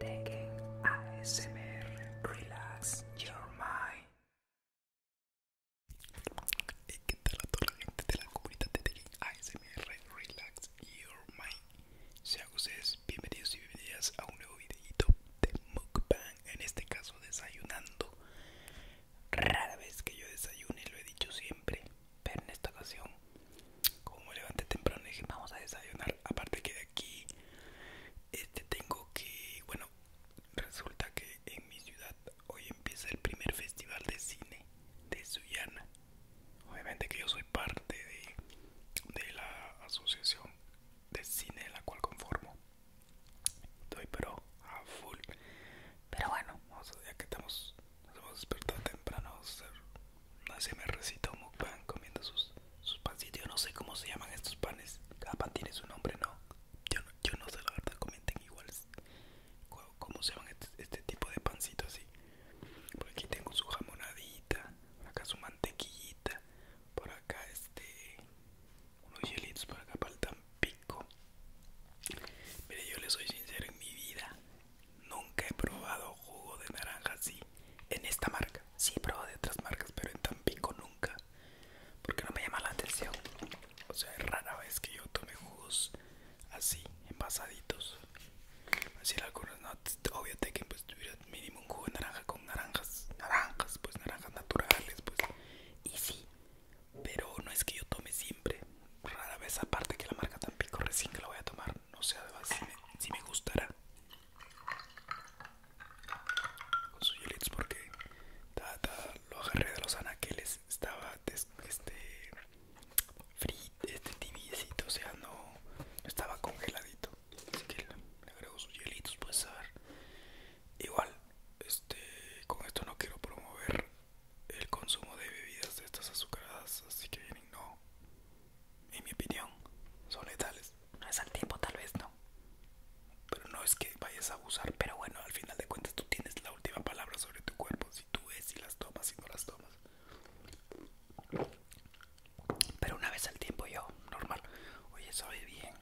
Taking ASMR Relax Your Mind. Hey, ¿Qué tal la gente de la comunidad de Taking ASMR Relax Your Mind? Sean ustedes bienvenidos y bienvenidas a un nuevo videito de mukbang, en este caso desayunando. Rara vez que yo desayune, lo he dicho siempre, pero en esta ocasión como me levanté temprano dije vamos a desayunar aparte que de aquí este tengo que bueno resulta que en mi ciudad hoy empieza el primer festival de cine de Suyana obviamente que yo soy parte de, la asociación de cine de la cual conformo estoy pero a full pero bueno vamos a ya que estamos nos a despertar temprano una me recita un mukbang comiendo sus, sus pancitos Yo no sé cómo se llaman estos panes Cada pan tiene su nombre, ¿no? Yo no, yo no sé, la verdad, comenten igual Cómo se llaman este, este tipo de pancitos así Por aquí tengo su jamonadita acá su mantequillita Por acá este... Unos hielitos por acá para el Tampico Mire, yo le soy sincero en mi vida Nunca he probado jugo de naranja así en esta marca. Sí he probado de otras marcas, pero en Tampico nunca. Porque no me llama la atención. O sea, es rara vez que yo tome jugos así, envasaditos. Así algunas no, obvio que pues tuviera mínimo un jugo de naranja con naranjas, naranjas, pues naranjas naturales, pues. Y sí, pero no es que yo tome siempre. Rara vez aparte que la marca Tampico recién que la voy a tomar no sé si me, si me gustará con sus hielitos porque ta, lo agarré de los anaqueles, estaba este, este tibiecito, o sea, no estaba congeladito, así que le agrego sus hielitos, pues a ver, igual, este, con esto no quiero promover el consumo de bebidas de estas azucaradas, así que no, en mi opinión, son letales. Una vez al tiempo, tal vez no. Pero no es que vayas a abusar. Pero bueno, al final de cuentas tú tienes la última palabra sobre tu cuerpo. Si tú ves y las tomas, y no las tomas. Pero una vez al tiempo yo, normal. Oye, sabe bien.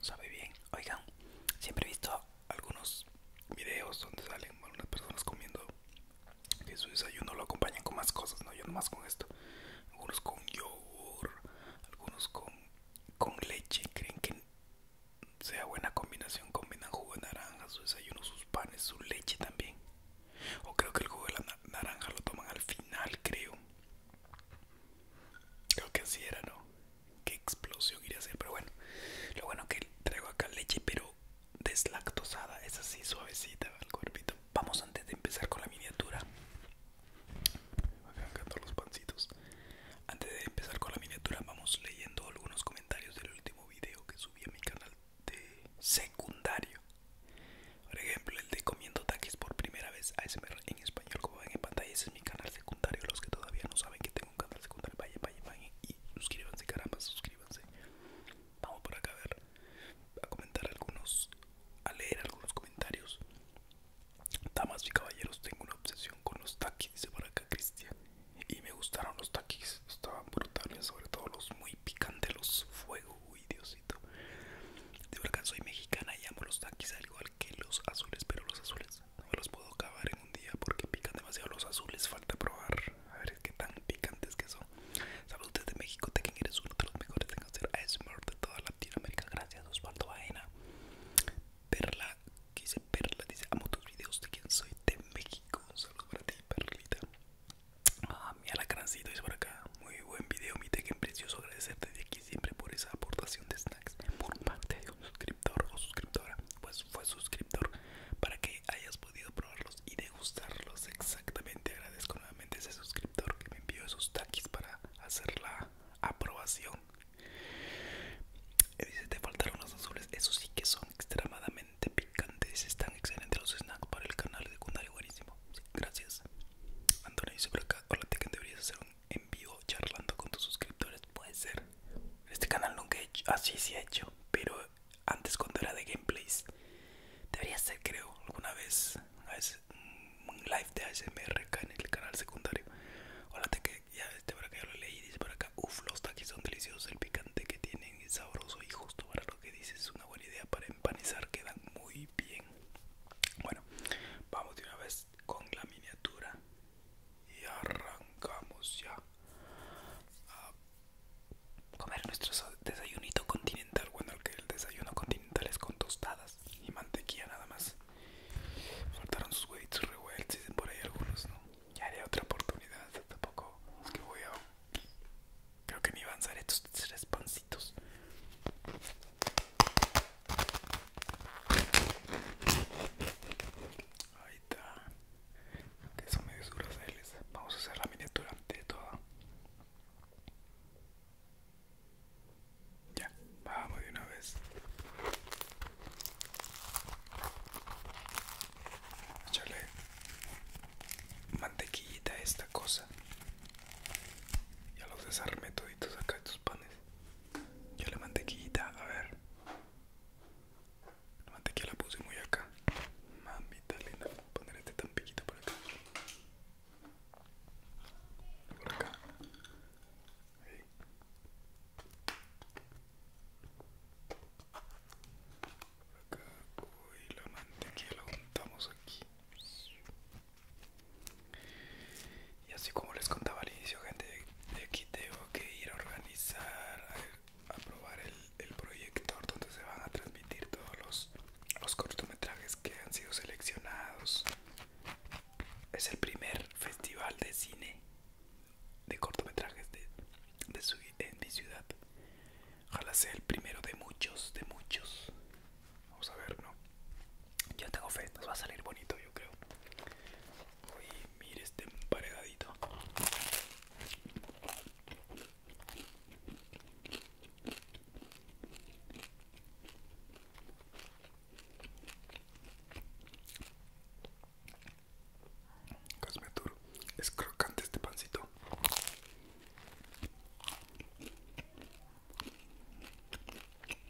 Sabe bien, oigan, siempre he visto algunos videos donde salen algunas personas comiendo que su desayuno lo acompañan con más cosas, no yo nomás con esto. Algunos con yogur, algunos con, con leche, creen que sea buena combinación, combinan jugo de naranja, su desayuno, sus panes, su leche también. O creo que el jugo de la naranja lo toman al final, creo. Creo que así era, ¿no? qué explosión iría a hacer, pero bueno. Lo bueno que traigo acá leche, pero deslactosada, es así suavecita el cuerpito. Vamos antes de empezar con la miniatura. Me los pancitos. Antes de empezar con la miniatura, vamos leyendo algunos comentarios del último video que subí a mi canal de secundario. Por ejemplo, el de comiendo taquis por primera vez ASMR en español, como ven en pantalla, ese es mi canal secundario. Los que todavía no saben que tengo un canal y suscríbanse, caramba, suscríbanse. Vamos por acá a ver, a comentar algunos, a leer algunos comentarios. Damas y caballeros, tengo una obsesión con los taquis, dice por acá Cristian. Y me gustaron los taquis, estaban brutales, sobre todo los muy picantes, los fuego, uy Diosito. de soy mexicana y amo los taquis, algo, que los azules, pero los azules no los puedo acabar en un día porque pican demasiado los azules. Falta probar, a ver qué tan picantes que son. Saludos desde México, Tekken eres uno de los mejores en hacer ASMR de toda Latinoamérica. Gracias, Osvaldo Baena. Perla, quise Perla, dice amo tus videos de quien soy de México. solo para ti, Perlita. Ah, mi alacrancito es por acá. Muy buen video, mi Tekken precioso. Agradecerte de aquí siempre por esa aportación de snacks por parte de un suscriptor o suscriptora, pues fue suscriptor, para que hayas podido probarlos y degustarlos exactamente. Agradezco nuevamente ese suscriptor que me envió esos taquis para hacer la aprobación. Eh, dice, te faltaron los azules, esos sí que son extremadamente picantes, están excelentes los snacks para el canal de buenísimo. gracias. Antonio dice por acá, deberías hacer un en vivo charlando con tus suscriptores, puede ser. Este canal nunca he hecho, así se ha hecho, pero antes cuando era de gameplays, debería ser creo alguna vez, mm, un live de ASMR acá en el canal secundario. que ya este por acá lo leí, dice por acá, uff, los taquitos son deliciosos, el picante que tienen es sabroso y justo para lo que dices es una buena idea para empanizar, quedan muy bien. Bueno, vamos de una vez con la miniatura y arrancamos ya a comer nuestro desayunito continental. Bueno, que el desayuno continental es con tostadas y mantequilla nada más. Faltaron sus huevos revueltos, y por ahí algunos, ¿no? Ya haré otra oportunidad, tampoco es que voy a... Creo que me iban a estos tres pancitos. Ahí está. Que son medios Vamos a hacer la miniatura de todo Ya, vamos de una vez. Échale mantequillita a esta cosa. Ya los desarmé toditos acá tus panes. Ya le mantequillita, a ver. La mantequilla la puse muy acá. Mamita linda, vamos a poner este tan por acá. Por acá. Por acá. Uy, la mantequilla la juntamos aquí. Y así como les contaba al inicio, gente, de aquí tengo que ir a organizar, a, probar el, el proyector donde se van a transmitir todos los, cortometrajes que han sido seleccionados. Es el primer festival de cine de cortometrajes de, su, en mi ciudad. Ojalá sea el primero de muchos, de muchos. Vamos a ver, ¿no? Yo tengo fe, nos va a salir bonito, yo creo. Uy, mire este emparedadito. es crocante este pancito.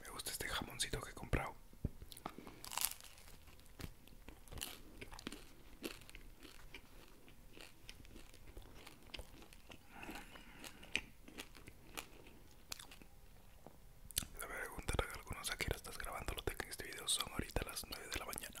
Me gusta este jamoncito que he comprado. La pregunta que algunos aquí estás grabando, lo tengo en este video, son ahorita las 9 de la mañana.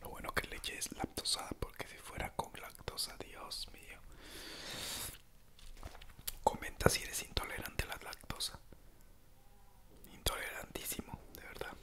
Lo bueno que leche es lactosada porque si fuera con lactosa, Dios mío. Comenta si eres intolerante a la lactosa. Intolerantísimo, de verdad.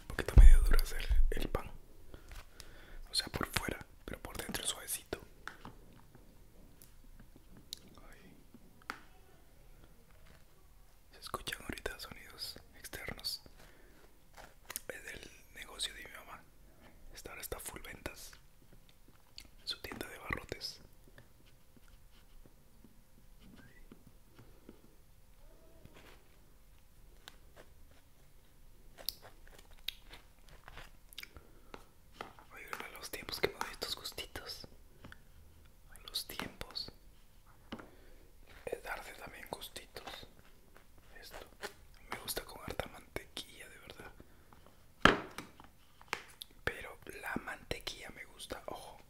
Un poquito medio duro hacer el pan o sea por fuera, pero por dentro suavecito. Se escuchan ahorita sonidos externos. Es del negocio de mi mamá. Esta ahora está full ventas. Su tienda de barrotes. Voy a los tiempos que me doy estos gustitos. A los tiempos. Es darte también gustitos. Esto. Me gusta con harta mantequilla, de verdad. Pero la mantequilla me gusta, ojo.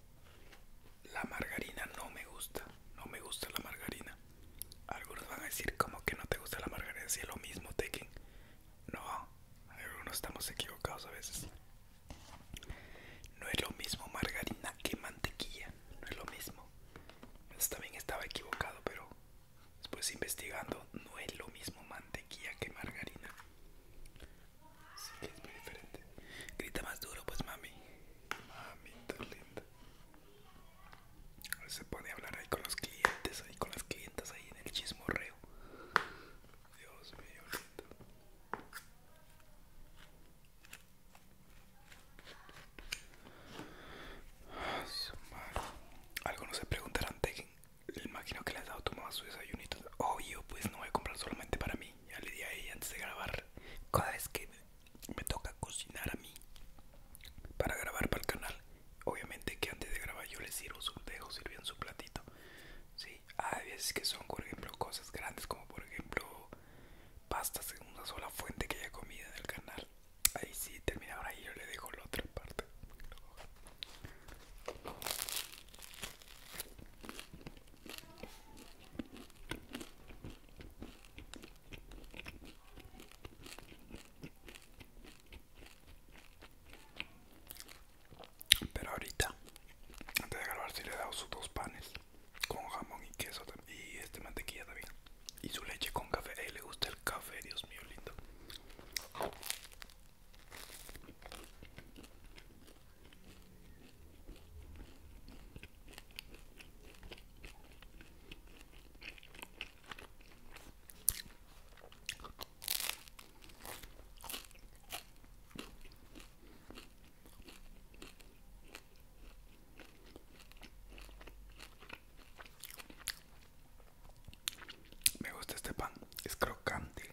La margarina no me gusta. No me gusta la margarina. Algunos van a decir como que no te gusta la margarina si es lo mismo Tekken. No, algunos estamos equivocados a veces. No es lo mismo margarina que mantequilla, no es lo mismo. Entonces, también estaba equivocado, pero después investigando no es lo mismo mantequilla que margarina. sí que es muy diferente. Grita más duro pues mami. Mami tan linda. Se puede hablar ahí con los clientes, ahí con las clientas, ahí en el chismorreo. Dios mío, lindo. Algunos se preguntarán, el imagino que le has dado tu su desayunito. Obvio, pues no voy a comprar solamente para mí. Ya le di a ella antes de grabar. Cada vez que me toca cocinar a mí para grabar para el canal. Obviamente que antes de grabar yo les sirvo, su, dejo sirviendo su platito. Sí, hay veces que son, por ejemplo, cosas grandes como por ejemplo pastas en una sola fuente que haya comida en el canal. Ahí sí, ahora y yo le dejo la otra parte. Pero ahorita, antes de grabar, si le he dado sus dos panes con jamón y queso y este mantequilla también. Y su leche con café. A le gusta el café, Dios mío, lindo. Me gusta este pan, es crocante.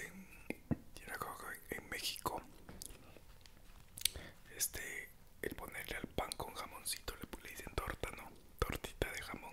En, en México, este, el ponerle al pan con jamoncito le, le dicen torta, ¿no? Tortita de jamón.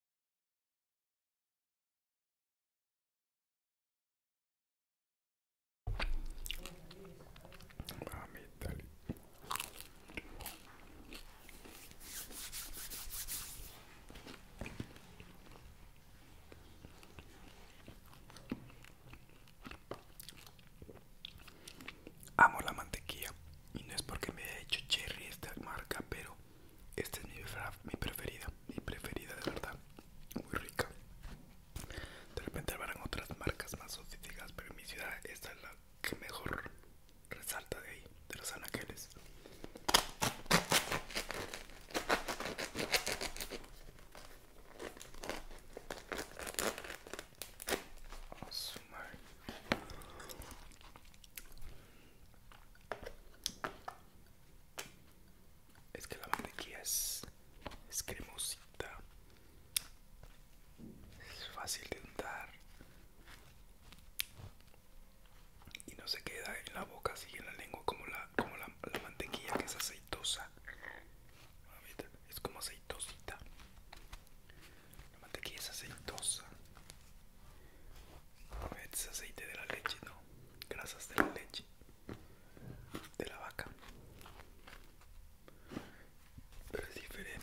Amo la mantequilla y no es porque me haya hecho cherry esta marca, pero esta es mi, preferida, mi preferida de verdad, muy rica. De repente habrán otras marcas más sofisticadas, pero en mi ciudad esta es la que mejor resalta de ahí, de los anaqueles. sumar es que la mantequilla es, cremosita. Es fácil de untar. Y no se queda en la boca, así en la lengua como la, como la mantequilla que es aceitosa. Es como aceitosita. La mantequilla es aceitosa es aceite de la leche, no, grasas de la leche de la vaca, pero es diferente.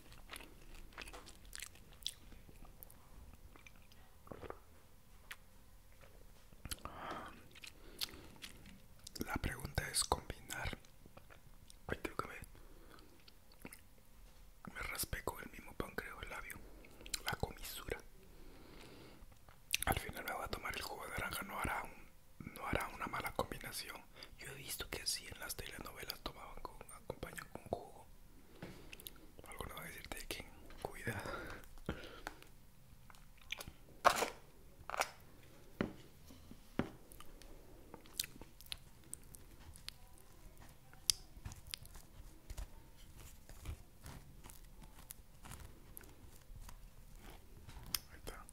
La pregunta es combinar. me, me con el mismo pancreo el labio, la comisura. Al final me voy a tomar el jugo de naranja, no hará, no hará una mala combinación. Yo he visto que así en las telenovelas tomaban con acompañan con jugo. no va a decirte que cuidado. Ahí está.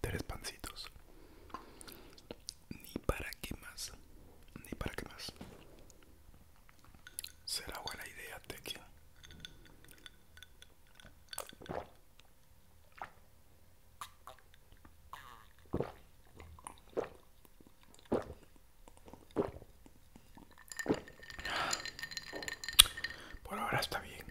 Tres pancitos. Ni para qué más. Ni para qué más. Será buena idea, Tequi. Por ahora está bien.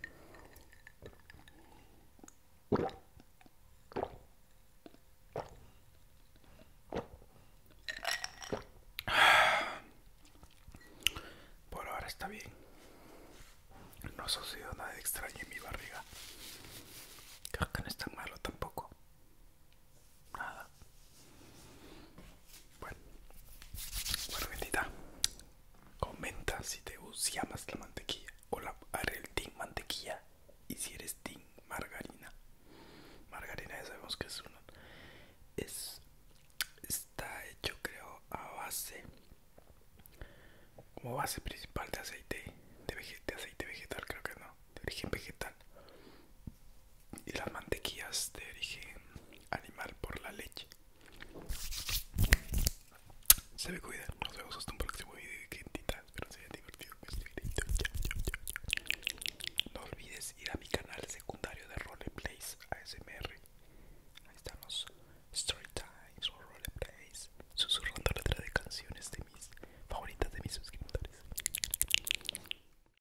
Por ahora está bien. No ha sucedido nada extraño en mi barriga. es tan malo tampoco. Nada. Bueno, bueno, bendita. Comenta si te si amas la mantequilla o la haré el tin mantequilla y si eres tin margarina. Margarina ya sabemos que es uno es está hecho creo a base como base principal de aceite de, de aceite vegetal creo que no de origen vegetal y las mantequillas de origen animal por la leche. Se me cuidado nos vemos hasta un próximo video de Quintitas, pero divertido que No olvides ir a mi canal secundario de Roleplays ASMR. Ahí estamos, Storytimes o Roleplays, susurrando letras de canciones de mis favoritas de mis suscriptores.